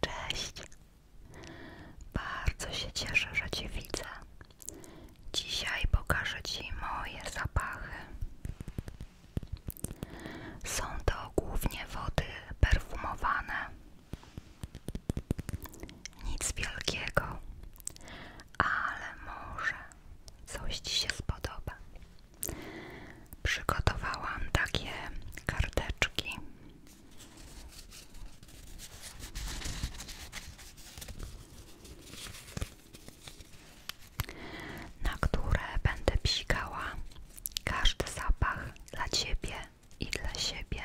Cześć. Bardzo się cieszę, że Cię widzę. Dzisiaj pokażę Ci moje zapachy. Są to głównie wody perfumowane. Nic wielkiego ale może coś Ci się spodoba. Przygotowałam takie karteczki. Na które będę psikała każdy zapach dla ciebie i dla siebie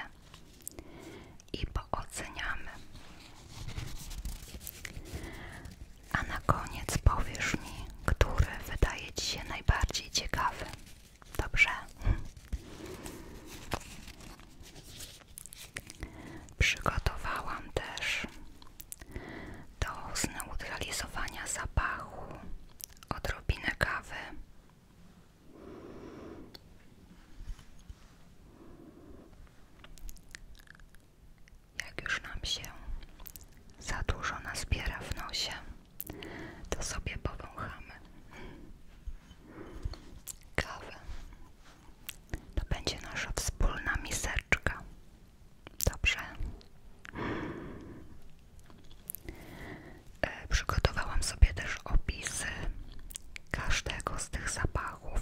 i pooceniamy. A na koniec powiesz mi, który wydaje Ci się najbardziej ciekawy. Dobrze? Przygotowałam też do zneutralizowania zapachu odrobinę kawy. Jak już nam się za dużo nas nazbiera w nosie, to sobie powąchamy kawę. To będzie nasza wspólna miseczka. Dobrze. E, przygotowałam sobie też opisy każdego z tych zapachów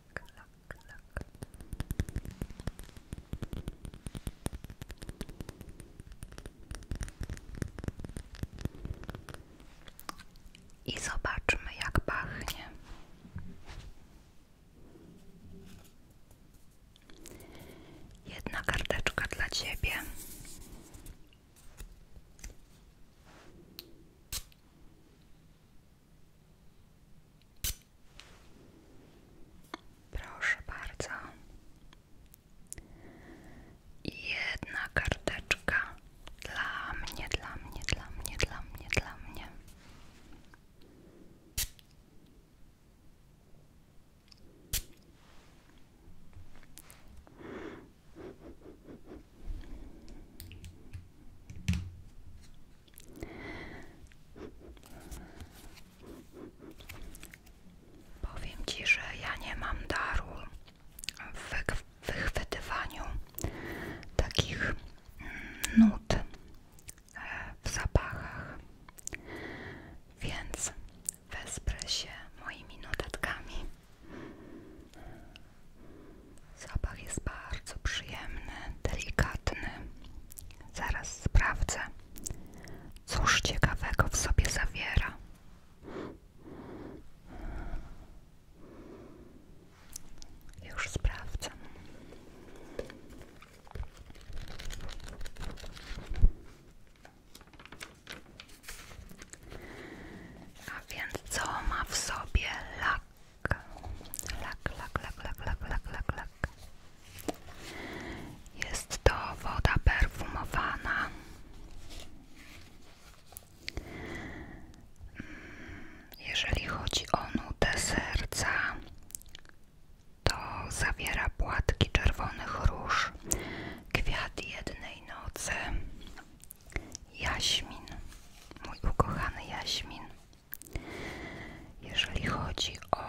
lak, lak, lak. I zobaczmy, jak pachnie. Jedna karteczka dla ciebie. Proszę bardzo. Jedna karteczka dla mnie, dla mnie, dla mnie, dla mnie, dla mnie. Powiem Ci, że ja nie mam daru w wychwytywaniu takich mm, nut e, w zapachach, więc wesprę się moimi notatkami. Zapach jest bardzo przyjemny, delikatny. Zaraz sprawdzę, cóż ciekawego w sobie zawiera. Już sprawdzam. A więc co ma w sobie lak? Jest to woda perfumowana. Mm, jeżeli chodzi o nutę serca, to zawiera płatki czerwonych róż, kwiat jednej nocy, jaśmin, mój ukochany jaśmin. Jeżeli chodzi o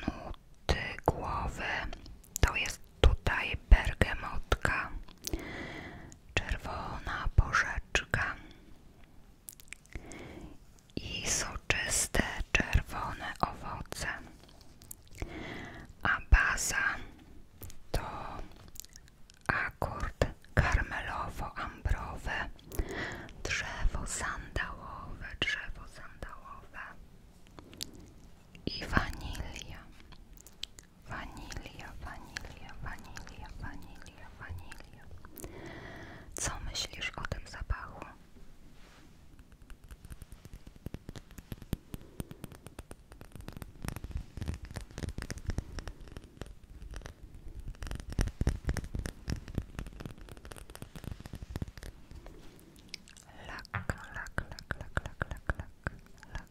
nuty głowy, to jest tutaj bergamotka, czerwona porzeczka i soczyste czerwone owoce. A baza to akord karmelowo-ambrowy, drzewo sandałowe, drzewo sandałowe i wanilia, wanilia, wanilia, wanilia, wanilia, wanilia. Co myślisz o tym zapachu? Lak, lak, lak, lak, lak, lak, lak, lak, lak.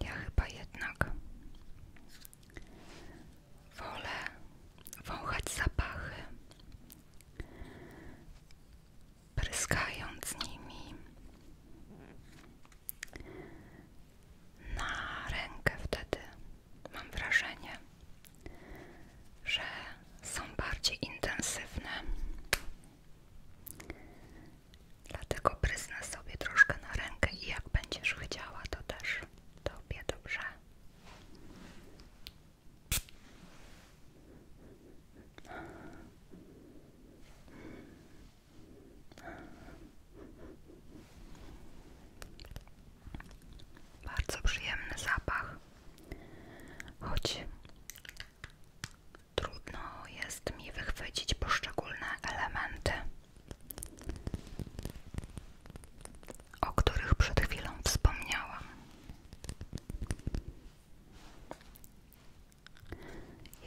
Ja chyba jednak wolę wąchać zapachy pryskając nimi na rękę wtedy mam wrażenie, że są bardziej intensywne. Dlatego prysnę sobie troszkę na rękę i jak będziesz chciała, to też tobie dobrze. Bardzo przyjemny zapach, choć trudno jest mi wychwycić poszczególne elementy, o których przed chwilą wspomniałam.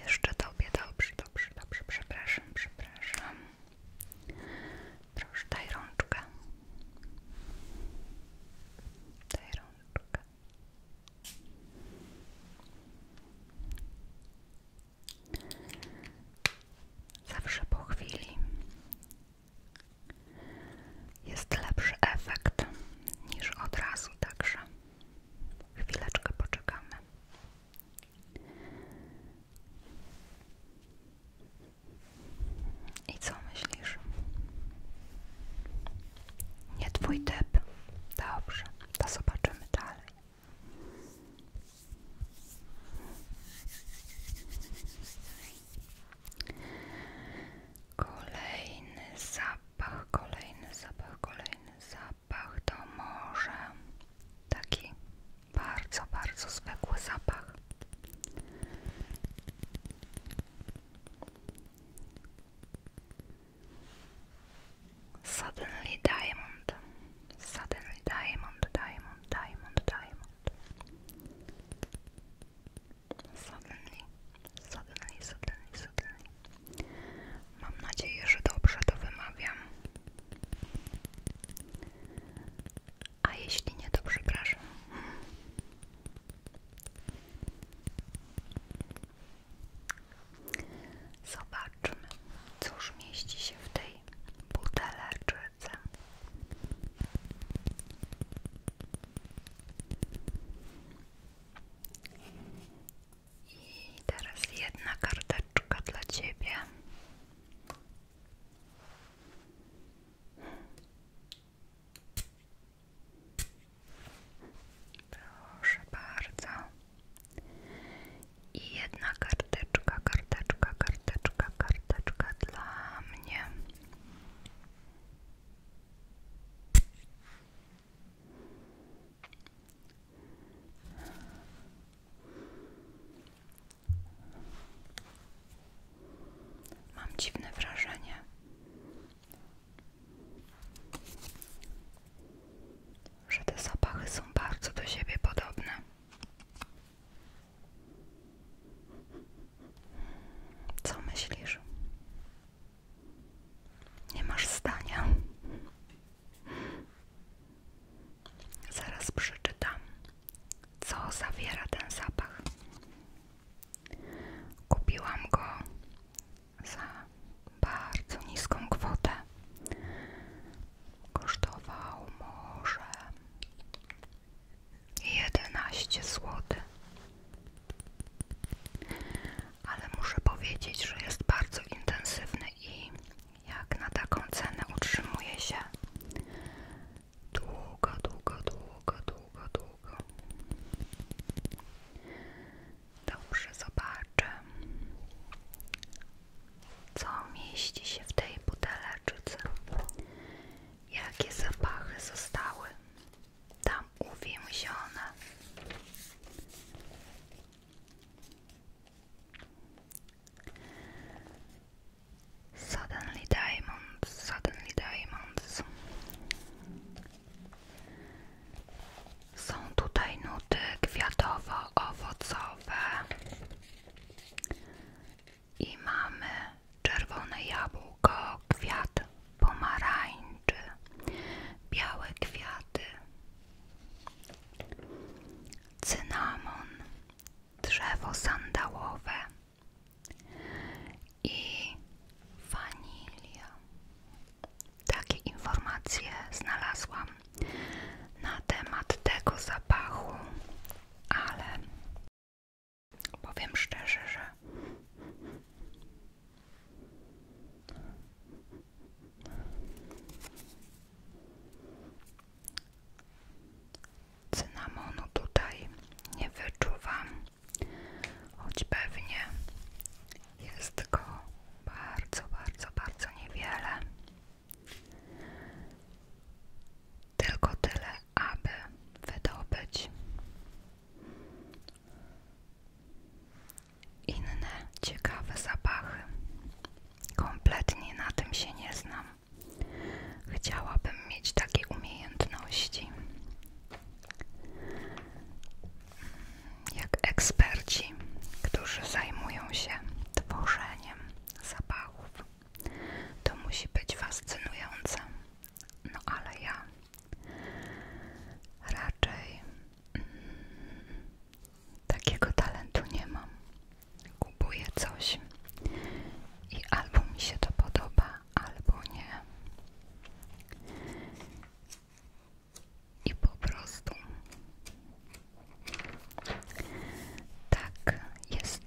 Jeszcze tobie, dobrze, dobrze, dobrze, przepraszam, przepraszam. Proszę, rączkę. Daj rączkę. Zawsze po chwili jest lepszy efekt niż od razu, także Chwileczkę poczekamy. I co myślisz? Nie twój typ. Dobrze, to zobaczymy dalej. Kolejny zapach, kolejny zapach, kolejny zapach zapach to może taki bardzo, bardzo zwykły zapach. Suddenly diamond, suddenly diamond, diamond, diamond, diamond. Suddenly, suddenly, suddenly, suddenly. Mam nadzieję, że dobrze to wymawiam. A jeśli nie, to przepraszam. Zobaczmy, cóż mieści się w tej buteleczce. I teraz jedna karteczka dla ciebie. Proszę bardzo. I jedna karteczka, karteczka, karteczka, karteczka dla mnie. Mam dziwne wrażenie, że te zapachy są bardzo do siebie podobne. Co myślisz? Nie masz zdania. Zaraz przeczytam, co zawiera ten zapach. Kupiłam go za bardzo niską kwotę. Kosztował może jedenaście zł ale muszę powiedzieć, że jest bardzo intensywny i jak na taką cenę utrzymuje się długo, długo, długo, długo, długo. Dobrze, zobaczę, co mieści się w tej buteleczce, jakie zapachy zostały tam uwięzione. Suddenly diamonds, suddenly diamonds. Są tutaj nuty kwiatowo-owocowe i mamy czerwone jabłko, kwiat pomarańcz białe kwiaty, cynamon, drzewo sandałowe i wanilia. Takie informacje znalazłam na temat tego zapachu, ale powiem szczerze, że Cynamonu tutaj nie wyczuwam, choć pewnie jest go bardzo, bardzo, bardzo niewiele. Tylko tyle, aby wydobyć inne ciekawe zapachy. Kompletnie na tym się nie znam. Chciałabym mieć takie umiejętności. Jak eksperci, którzy zajmują się tworzeniem zapachów. To musi być fascynujące. No ale ja raczej Takiego talentu nie mam. Kupuję coś i albo mi się to podoba, albo nie. I po prostu tak jest.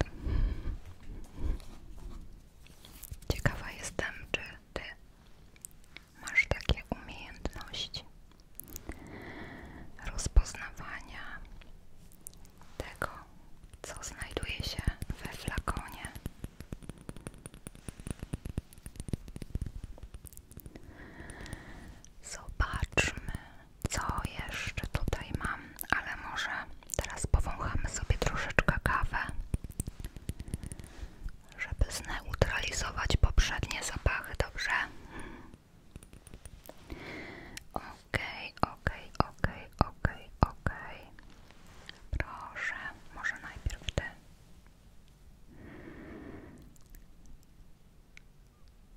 Ciekawa jestem, czy ty masz takie umiejętności rozpoznawania tego, co znajduje się we flakonie. Zobaczmy, co jeszcze tutaj mam, ale może teraz powąchamy sobie troszeczkę kawę żeby zneutralizować poprzednie zapachy, dobrze? Okej, okej, okej, okej, okej. Proszę, może najpierw ty.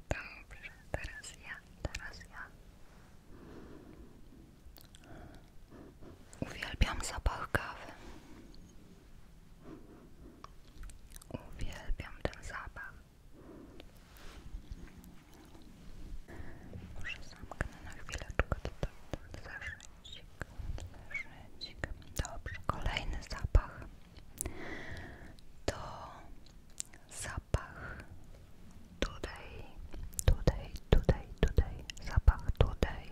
Dobrze, teraz ja, teraz ja. Uwielbiam zapach kawy. Uwielbiam ten zapach. Może zamknę na chwileczkę tutaj ten zeszycik, zeszycik. Dobrze, kolejny zapach to zapach tutaj, tutaj, tutaj, tutaj, zapach tutaj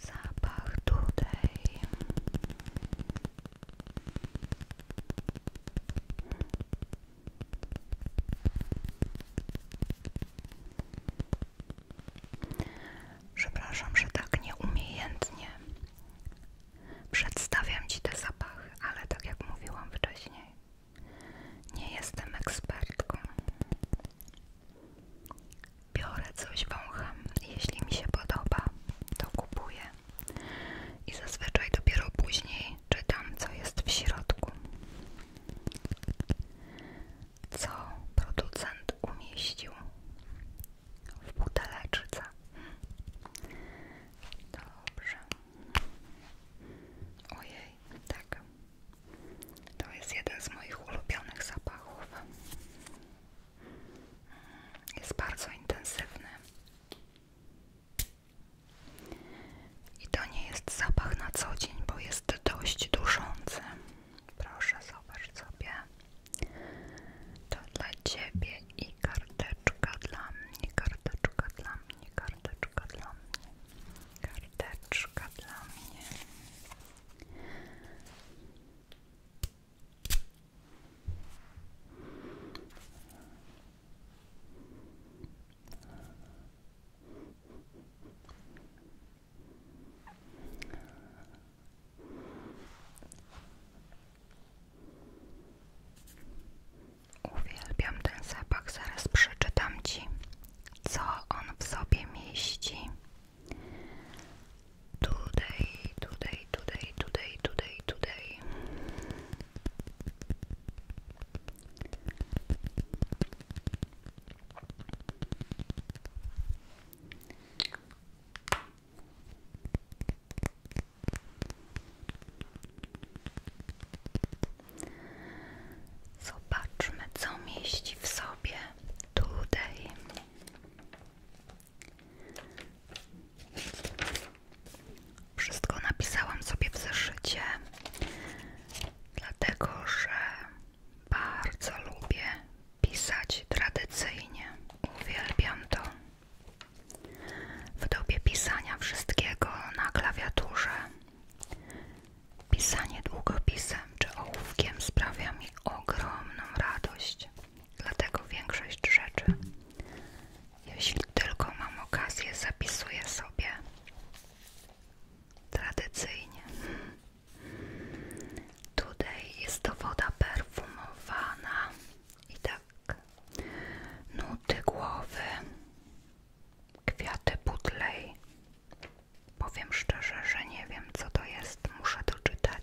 zapach tutaj Przepraszam, że tak nieumiejętnie przedstawiam Ci te zapachy, ale tak jak mówiłam wcześniej, nie jestem ekspertką. Biorę coś, wącham. Jeśli mi się podoba, to kupuję. I zazwyczaj dopiero później czytam, co jest w środku. Co producent umieścił w buteleczce. Dobrze. Ojej, tak. To jest jeden z moich ulubionych zapachów. Jest bardzo intensywny. I to nie jest zapach na co dzień, bo jest dość duszący. Proszę, zobacz sobie. To dla ciebie i karteczka dla mnie, karteczka dla mnie, karteczka dla mnie, karteczka dla mnie. Uwielbiam ten zapach, zaraz przeczytam ci, co on w sobie mieści. Today, today, today, today, today, today. Zobaczmy, co mieści w sobie today. Wszystko napisałam sobie w zeszycie, dlatego że bardzo lubię pisać tradycyjnie. Uwielbiam to. W dobie pisania wszystkiego na klawiaturze. Pisanie długopisem czy ołówkiem sprawia mi ogromną radość. Dlatego większość rzeczy, jeśli tylko mam okazję, zapisuję sobie tradycyjnie. Tutaj jest to woda perfumowana i tak nuty głowy, kwiaty butlej. Powiem szczerze, że nie wiem co to jest, muszę to czytać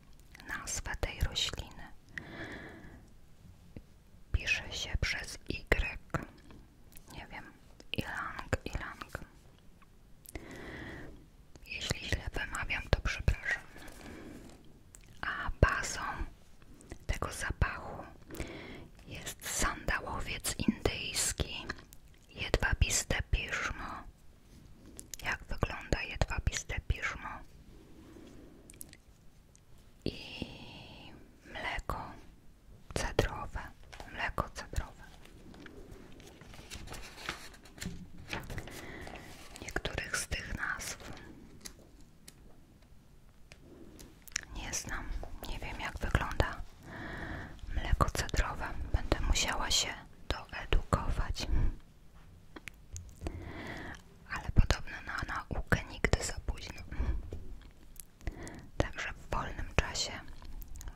nazwę tej rośliny. Pisze się przez Y. Nie wiem, ilang, ilang. Jeśli źle wymawiam, to przepraszam. A bazą tego zapachu jest sandałowiec indyjski, jedwabiste piżmo jak wygląda jedwabiste piżmo i mleko cedrowe, mleko cedrowe. Niektórych z tych nazw nie znam, nie wiem jak wygląda mleko cedrowe. Będę musiała się doedukować. Ale podobno na naukę nigdy za późno. Także w wolnym czasie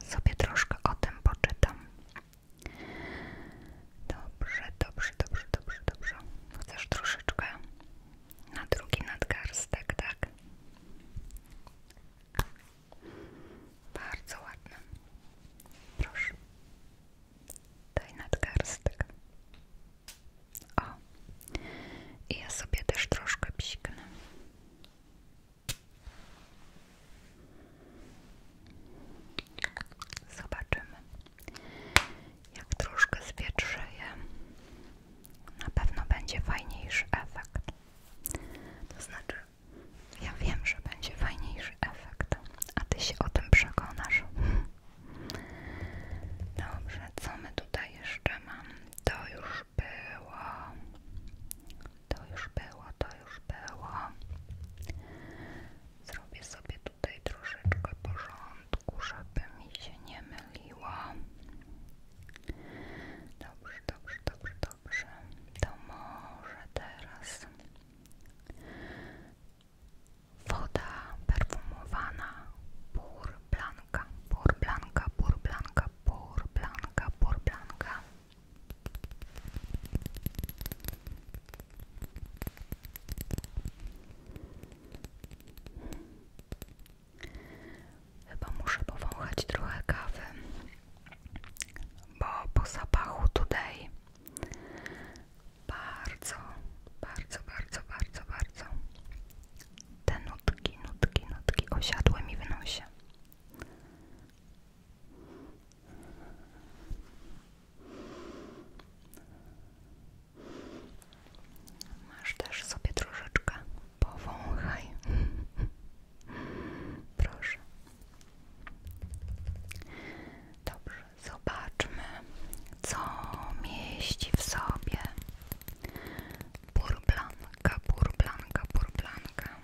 sobie troszkę o tym poczytam. Dobrze, dobrze, dobrze, dobrze, dobrze. Chcesz troszeczkę na drugi nadgarstek, tak? Bardzo ładne. Proszę. Daj nadgarstek. O, i ja sobie też troszkę psiknę. Zobaczymy, jak troszkę zwietrzeje. Na pewno będzie fajniejszy efekt. To znaczy, ja wiem, że będzie fajniejszy efekt, a ty się o tym przekonasz. Dobrze, co my tutaj jeszcze mam? To już było. To już było, to już było. Zrobię sobie tutaj troszeczkę porządku, żeby mi się nie myliło. Dobrze, dobrze, dobrze, dobrze. To może teraz Woda perfumowana Pur Blanca, Pur Blanca, Pur Blanca, Pur Blanca, Pur Blanca. Chyba muszę powąchać trochę kawy, bo po zapachu tutaj bardzo, bardzo, bardzo, bardzo, bardzo te nutki, nutki, nutki osiadły mi w nosie. Masz też sobie troszeczkę powąchaj. Proszę. Dobrze, zobaczmy, co mieści w sobie burblanka, burblanka, burblanka.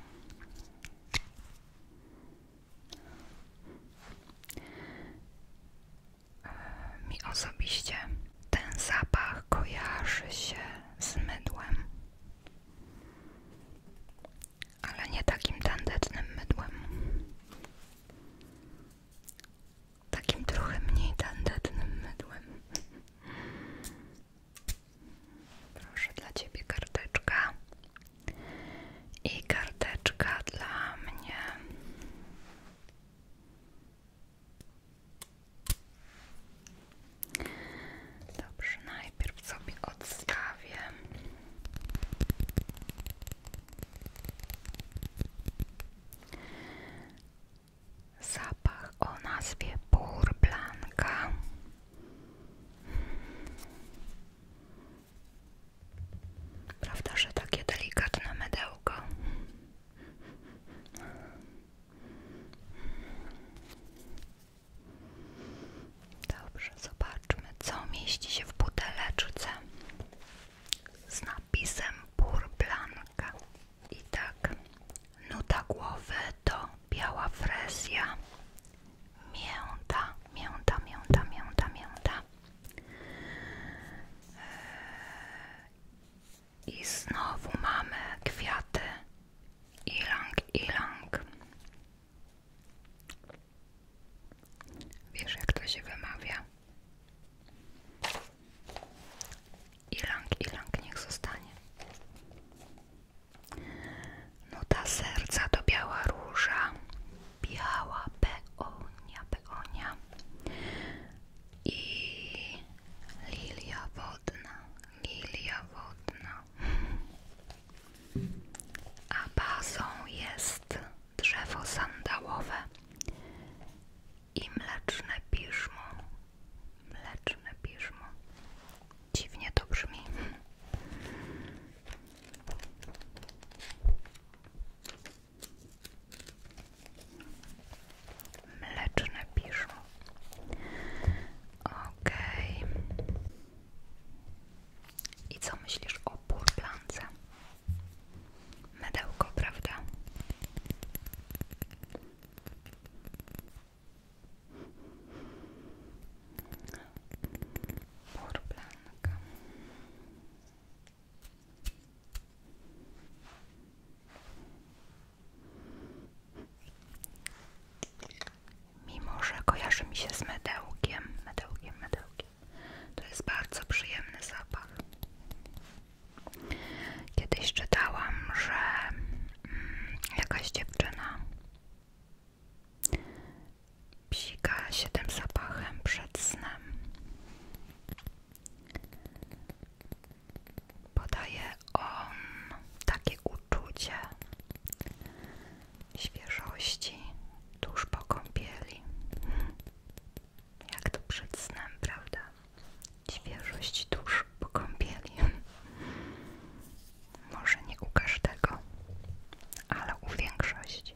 E, mi osobiście ten zapach kojarzy się z mydłem ale nie takim tandetnym mydłem. Takim trochę mniej tandetnym mydłem. Proszę dla ciebie karteczka. I karteczka dla mnie. Dobrze, najpierw sobie odstawię. Zapach o nazwie Purblanka. Prawda, że takie delikatne mydełko. Dobrze, zobaczmy, co mieści się w buteleczce z napisem Pur Blanca. I tak, nuta głowy to biała frezja, mięta, mięta, mięta, mięta, mięta. Eee, I znowu mamy kwiaty ilang, ilang. Wiesz, jak to się wymawia? Ilang, ilang niech zostanie. Nuta no serca to biała róża, biała peonia, peonia i lilia wodna, lilia wodna. a bazą jest drzewo sandałowe i mleczne piżmo. Mleczne piżmo. Dziwnie to brzmi. Mleczne piżmo. Okej. I co myślisz o purplance? Mydełko, prawda? Purplanka. Mimo, że kojarzy mi się z mydełkiem, mydełkiem, mydełkiem. To jest bardzo przyjemny zapach. Kiedyś czytałam, że mm, jakaś dziewczyna psika się tym zapachem przed snem. Podaje on takie uczucie świeżości tuż po kąpieli. Jak to przed snem, prawda? Świeżość tuż po kąpieli. Może nie u każdego, ale u większości.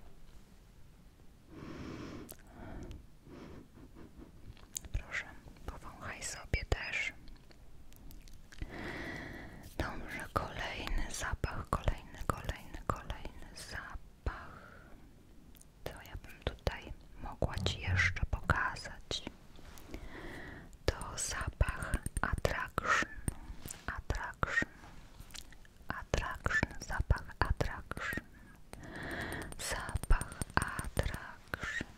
Proszę, powąchaj sobie też. Dobrze, kolejny zapach, kolejny, kolejny, kolejny zapach. To ja bym tutaj mogła Ci jeszcze pokazać. To zapach attraction, attraction, attraction, zapach attraction, zapach attraction.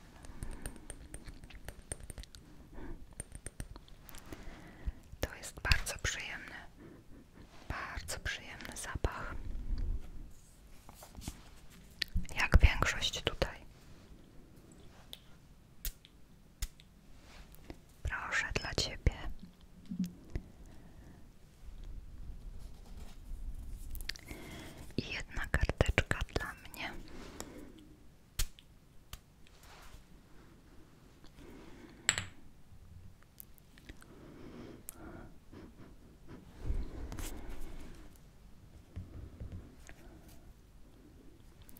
To jest bardzo przyjemny, bardzo przyjemny zapach. Jak większość tutaj. Proszę dla ciebie. I jedna karteczka dla mnie.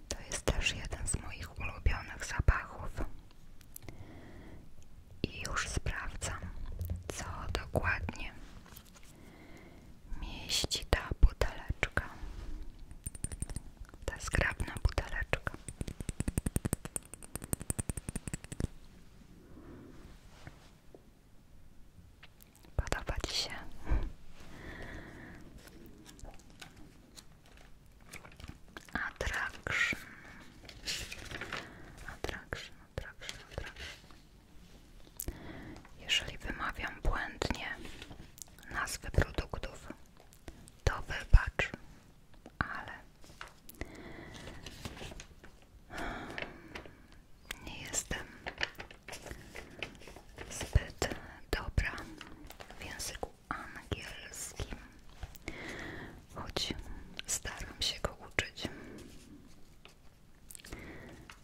To jest też jeden z moich ulubionych zapachów. I już sprawdzam, co dokładnie mieści ta buteleczka. Ta zgrabna buteleczka. Podoba Ci Attraction. Attraction, attraction, Jeżeli wymawiam błędnie nazwy produktów, to wybacz ale hmm, nie jestem zbyt dobra w języku angielskim, choć staram się go uczyć.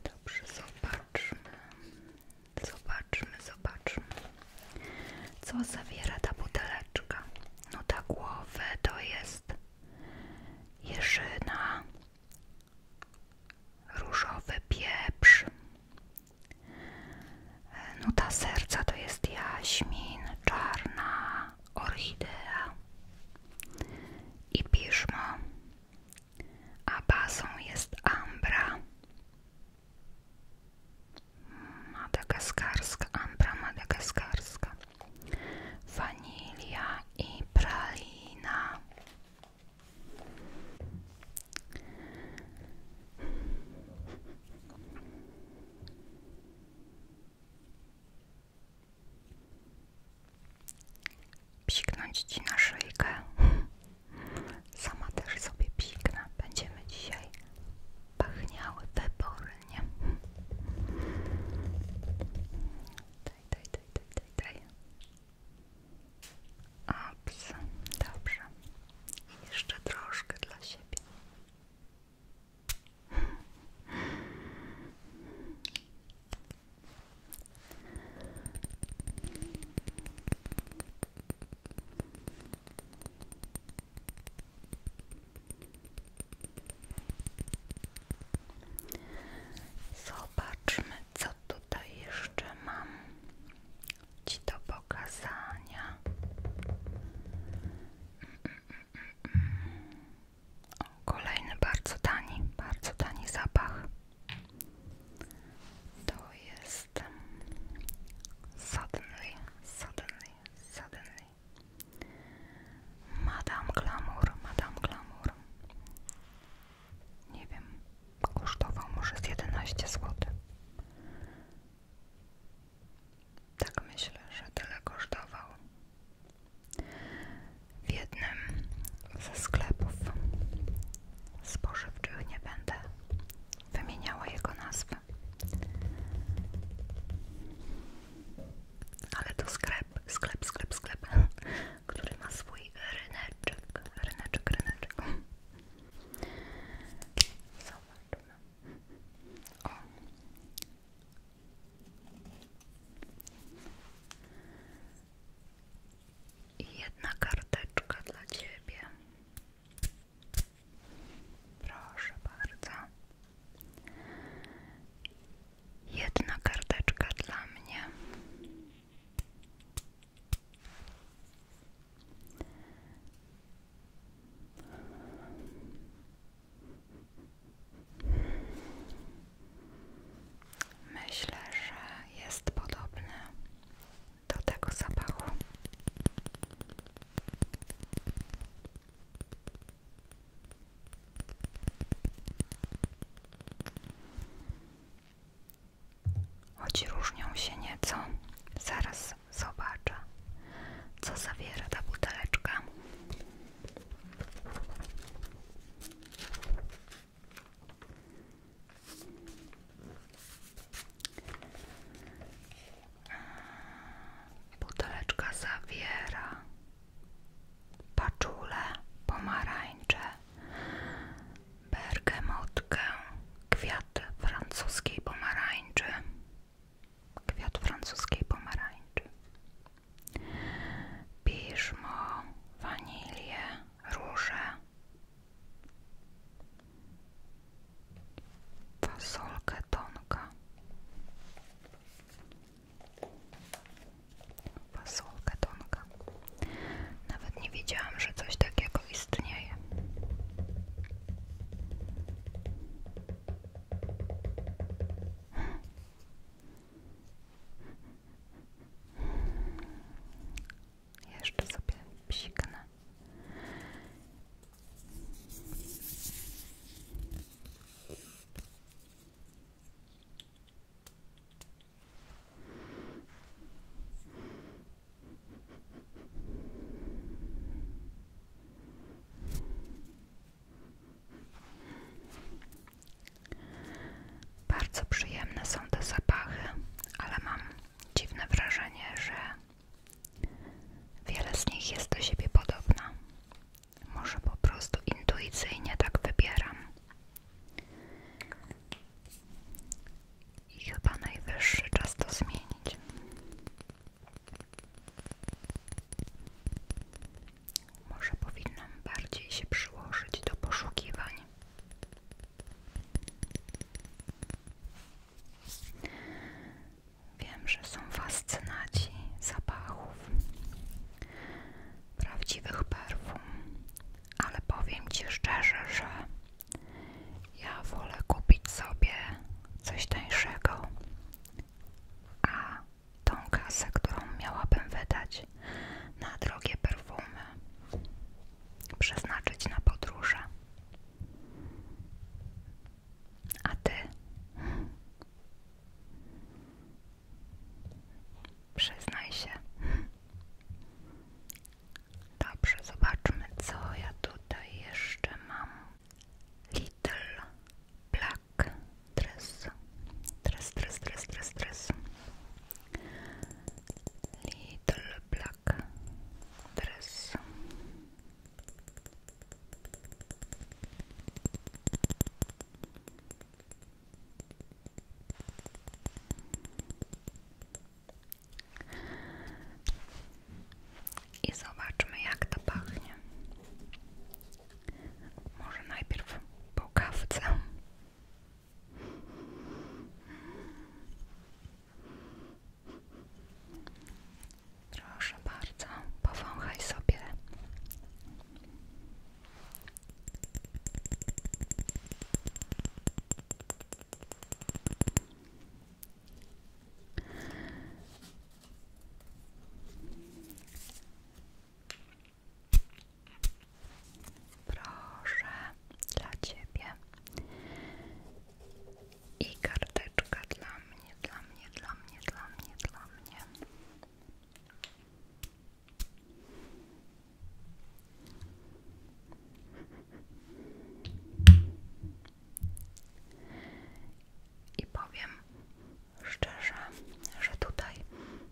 Dobrze, zobaczmy. Zobaczmy, zobaczmy. Co zawiera ta buteleczka? No ta głowy to jest jeżyna, różowy pieprz. No ta serca to jest jaśmin, czarna orchidea i piżmo, a bazą jest ambra. Madagaskarska, ambra madagaskarska, wanilia i pralina. Psiknąć na szyjkę. Sama też sobie piknę. Będziemy dzisiaj pachniały wybornie. Daj, daj, daj, daj, daj, daj. Ops, dobrze. Jeszcze troszkę dla siebie. Zobaczmy, co tutaj jeszcze mam Ci do pokazania. Kolejny bardzo tani, bardzo tani zapach. To jest suddenly, suddenly, suddenly. Madame Glamour, Madame Glamour. Nie wiem, kosztował może z 11 zł. Tak myślę, że tyle kosztował. W jednym ze sklepów spożywczych nie będę wymieniała jego nazwy. Ale to sklep, sklep, sklep, sklep, który ma swój ryneczek, ryneczek, ryneczek. jedna karteczka dla Ciebie. Proszę bardzo. Jedna karteczka dla mnie. Myślę, że jest podobny do tego zapachu. Choć różnią się nieco, zaraz zobaczę, co zawiera ta buteleczka. Buteleczka zawiera paczulę, pomarańcze, bergamotkę, kwiat francuskiej pomarańczy, kwiat francuskiej pomarańczy, piżmo, wanilię, różę fasolkę tonka fasolkę tonka nawet nie wiedziałam, że coś takiego istnieje jeszcze sobie psiknę bardzo przyjemne są te zapachy, ale mam dziwne wrażenie, że Wiele z nich jest do siebie podobna. Może po prostu intuicyjnie tak wybieram. I chyba najwyższy czas to zmienić. Może powinnam bardziej się przyłożyć do poszukiwań. Wiem, że są fascynaci zapachów, prawdziwych perfum, ale powiem Ci szczerze, że ja wolę kupić sobie coś tańszego, a tą kasę, którą miałabym wydać na drogie perfumy, przeznaczyć na podróże. A ty? Przyznaj się. Dobrze, zobaczmy, co ja tutaj jeszcze mam. Little Black Dress. Dress, dress, dress, dress, dress. Little Black Dress. I zobaczmy, jak to pachnie. Może najpierw po kawce. Proszę bardzo, powąchaj sobie. Proszę dla ciebie i karteczka dla mnie, dla mnie, dla mnie, dla mnie, dla mnie. I powiem szczerze, że tutaj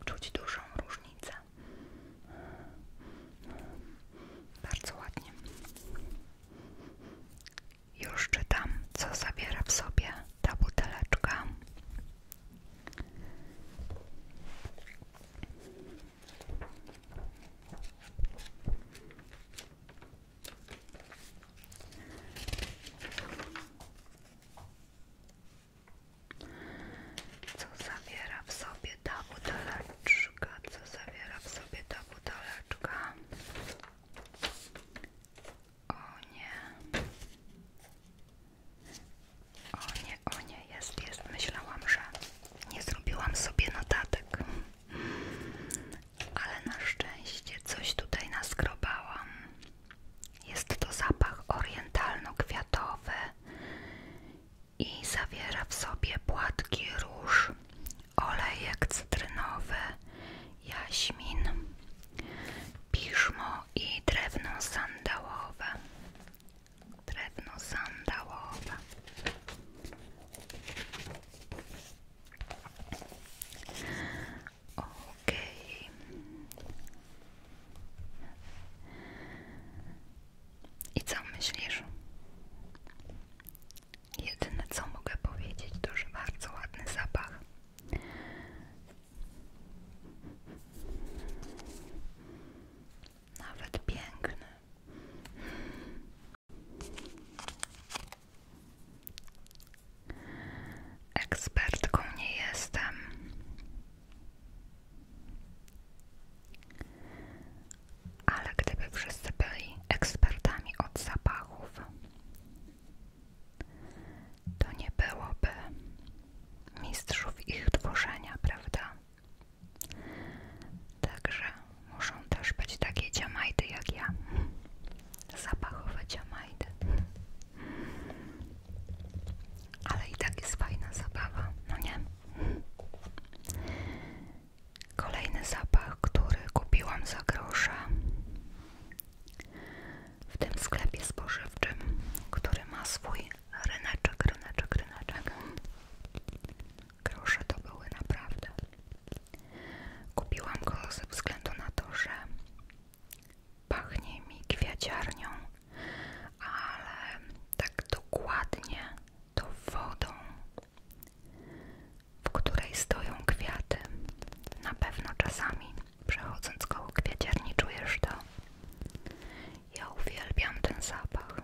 czuć dużą różnicę. Bardzo ładnie. Już czytam, co zawiera w sobie ta buteleczka. Co zawiera w sobie ta buteleczka? Co zawiera w sobie ta buteleczka? O nie. O nie, o nie, jest, jest. Myślałam, że nie zrobiłam sobie notatek. Ale na szczęście coś tutaj naskrobałam. Jest to zapach orientalno-kwiatowy i zawiera w sobie płatki róż olejek cytrynowy, jaśmin, piżmo i drewno sandałowe. Drewno sandałowe. Okej. I co myślisz? Jedyne co mogę powiedzieć to, że bardzo ładny zapach. Nawet piękny. Ekspertką nie jestem. Ale gdyby wszyscy byli ekspertami od zapachów, to nie byłoby mistrzów ich tworzenia, prawda? Także muszą też być takie ciamajdy jak ja. Zapachowe ciamajdy. Ale i tak jest fajna zabawa, no nie? Kolejny zapach, który kupiłam za grosze w tym sklepie spożywczym, który ma swój ryneczek, ryneczek, ryneczek. Grosze to były naprawdę. Kupiłam go ze względu na to, że pachnie mi kwiaciarnią, ale tak dokładnie to wodą w której stoją kwiaty. Na pewno czasami, przechodząc koło kwiaciarni, czujesz to. Ja uwielbiam ten zapach.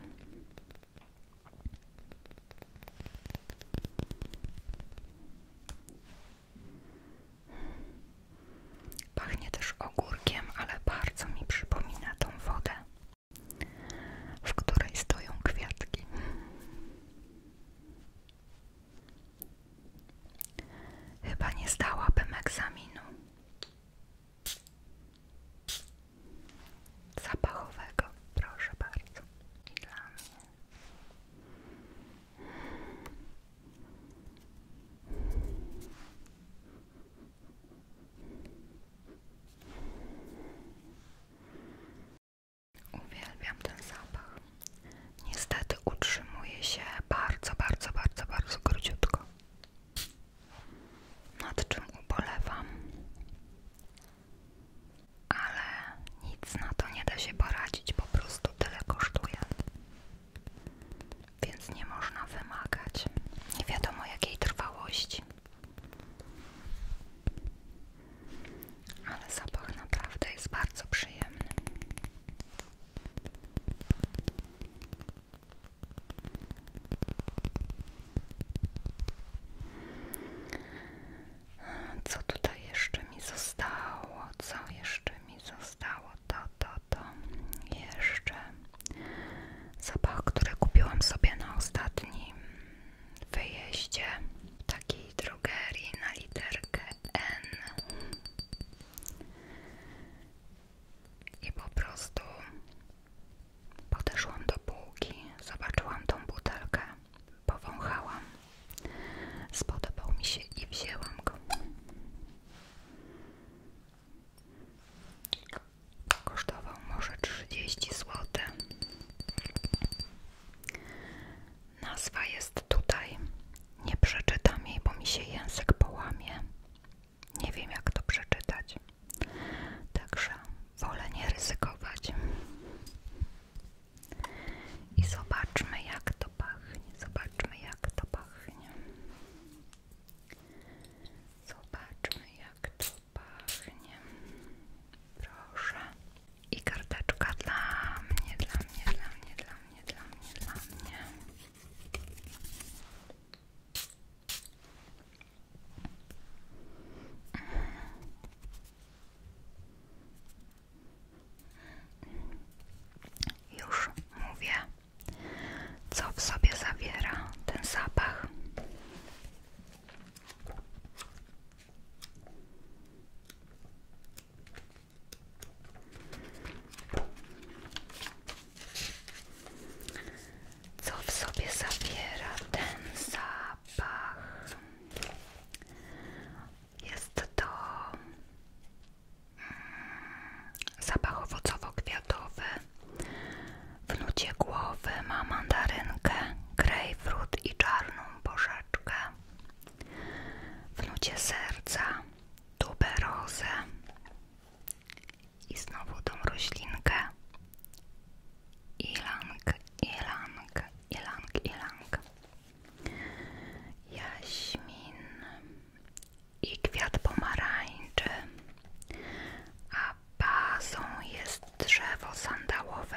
Pachnie też ogórkiem, ale bardzo mi przypomina tą wodę, w której stoją kwiatki. Chyba nie zdałabym egzaminu zapachowego, proszę bardzo. Uwielbiam ten zapach. Niestety utrzymuje się bardzo, bardzo, bardzo, bardzo króciutko. Nad czym ubolewam, ale nic na to nie da się poradzić, po prostu tyle kosztuje. Więc nie można wymagać nie wiadomo jakiej trwałości ale zapach naprawdę jest bardzo przyjemny. Co tutaj jeszcze mi zostało? Co jeszcze mi zostało? To, to, to. Jeszcze zapach, który kupiłam sobie na ostatnim w takiej drogerii na literkę N i po prostu podeszłam do półki, zobaczyłam tą butelkę, powąchałam, spodobał mi się i wzięłam go. Kosztował może 30 złotych Nazwa jest tutaj. Nie przeczytam jej, bo mi się język połamie. Nie wiem, jak to przeczytać. Także wolę nie ryzykować. I zobaczmy, jak to pachnie. Zobaczmy, jak to pachnie. Zobaczmy, jak to pachnie. Proszę. I karteczka dla mnie, dla mnie, dla mnie, dla mnie, dla mnie, dla mnie. Już mówię, co w sobie zawiera ten zapach. Co w sobie zawiera ten zapach? Jest to mm, zapach owocowo-kwiatowy. W głowy ma mandarynkę, grejpfrut i czarną porzeczkę w locie serca tuberozę i znowu tą roślinkę ilang, ilang, ilang, ilang jaśmin i kwiat pomarańczy a bazą jest drzewo sandałowe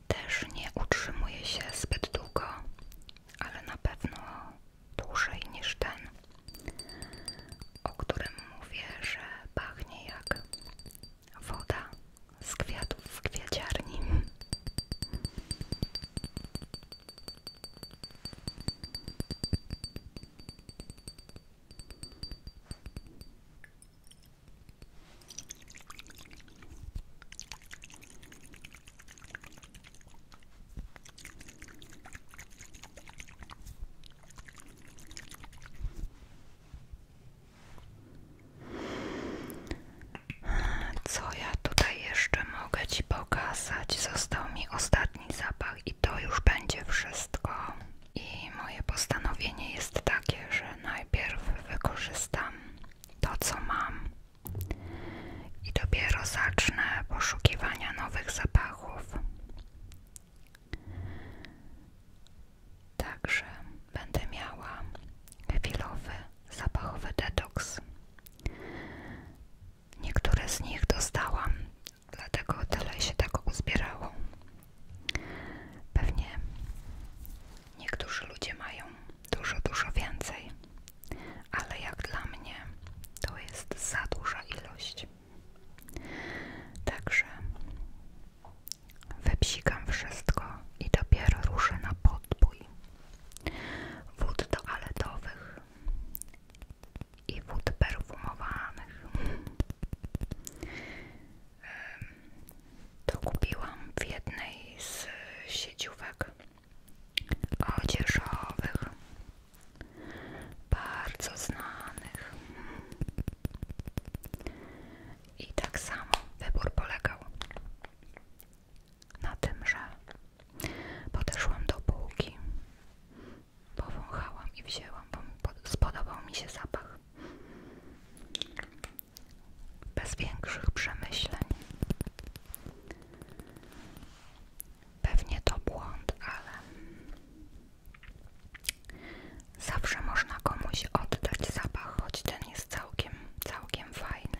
też nie utrzymuje się zbyt długo, ale na pewno dłużej niż ten, o którym mówię, że pachnie jak woda z kwiatów w kwiaciarni. Co ja tutaj jeszcze mogę Ci pokazać? Został mi ostatni zapach i to już będzie wszystko. I moje postanowienie jest takie, że najpierw wykorzystam to, co mam i dopiero zacznę poszukiwania nowych zapachów. Także będę miała chwilowy zapachowy detoks. Niektóre z nich dostałam, dlatego dalej się tak uzbierało. Pewnie niektórzy ludzie mają dużo, dużo więcej, ale jak dla mnie to jest za duża ilość. Także wypsikam wszystko i dopiero ruszę na podbój wód toaletowych i wód perfumowanych to kupiłam w jednej z sieciówek odzieżowych, bardzo znanych. I tak samo wybór polegał na tym, że podeszłam do półki, powąchałam i wzięłam, bo spodobał mi się zapach bez większych przemyśleń. Pewnie to błąd, ale zawsze można komuś oddać zapach, choć ten jest całkiem, całkiem fajny.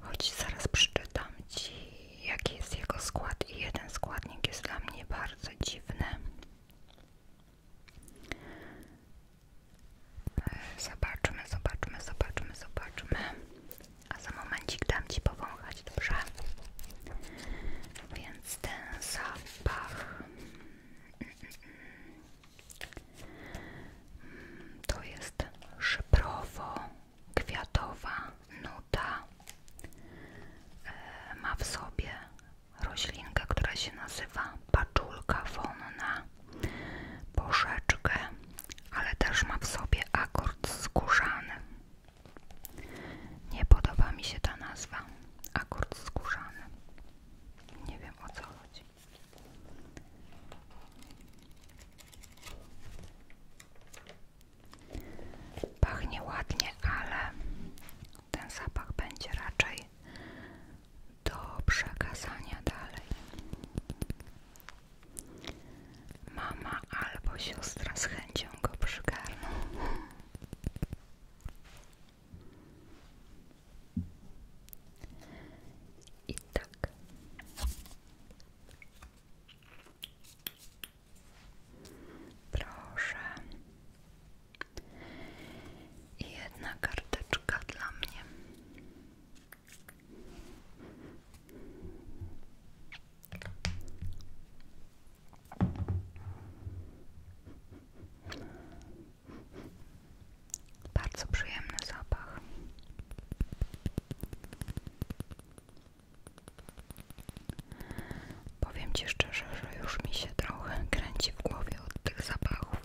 Choć zaraz przeczytam Ci, jaki jest jego skład i jeden składnik jest dla mnie bardzo dziwny. Zobaczmy, zobaczmy, zobaczmy, zobaczmy. A za momencik dam Ci powąchać, dobrze? Więc ten zapach... To jest szyprowo-kwiatowa nuta minuta e, ma w sobie roślinkę, która się nazywa paczulka wonna, porzeczkę, ale też ma w sobie akord skórzany. Nie podoba mi się ta nazwa, akord skórzany. Nie wiem o co chodzi. Pachnie ładnie, ale ten zapach będzie raczej do przekazania dalej. Mama albo siostra z chęcią go przygarną. I tak. Proszę. I jedna karteczka dla mnie. Bardzo przyjemny zapach. Powiem Ci szczerze, że już mi się trochę kręci w głowie od tych zapachów.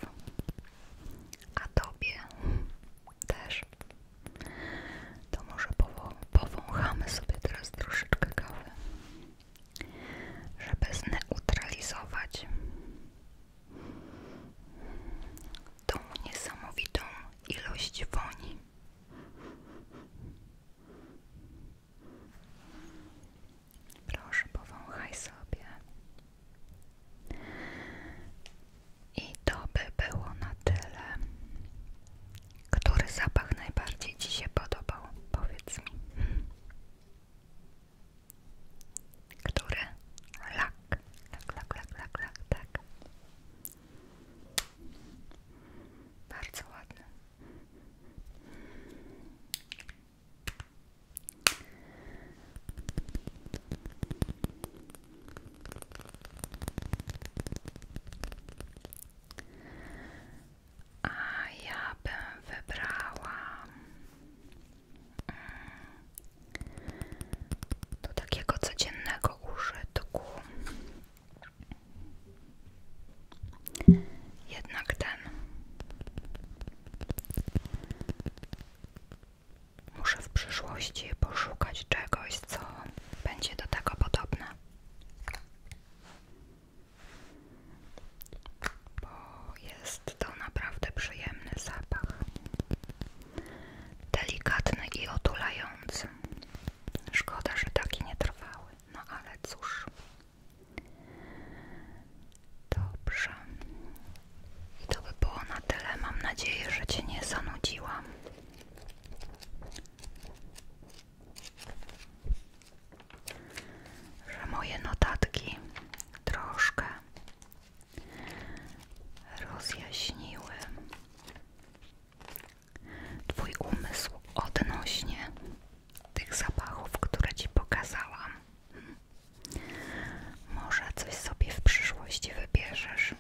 A Tobie też. To może powo powąchamy sobie teraz troszeczkę kawy, żeby zneutralizować tą niesamowitą ilość woni. Proszę, powąchaj sobie. I to by było na tyle. Który zapach najbardziej Ci się podobał? Powiedz mi. Który? Lak. Lak, lak, lak, lak, lak, tak. Bardzo ładny. A ja bym wybrała mm, do takiego codziennego użytku jednak ten. Muszę w przyszłości poszukać czegoś, co będzie do tego podobne. Bo jest to naprawdę przyjemny zapach. Delikatny i otulający. Szkoda, że taki nie trwały. No ale cóż. Dobrze. I to by było na tyle. Mam nadzieję, że Cię nie zanudziłam. Że moje notatki troszkę rozjaśniły Twój umysł odnośnie tych zapachów, które Ci pokazałam. Może coś sobie w przyszłości wybierzesz.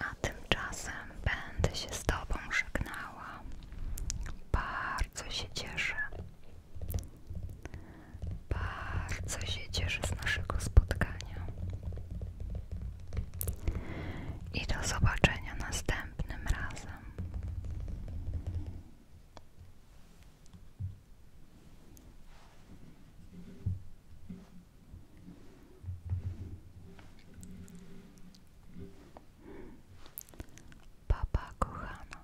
A tymczasem będę się z Tobą żegnała. Bardzo się cieszę. Bardzo się cieszę z naszego spotkania. I do zobaczenia następnym razem. Papa kochana.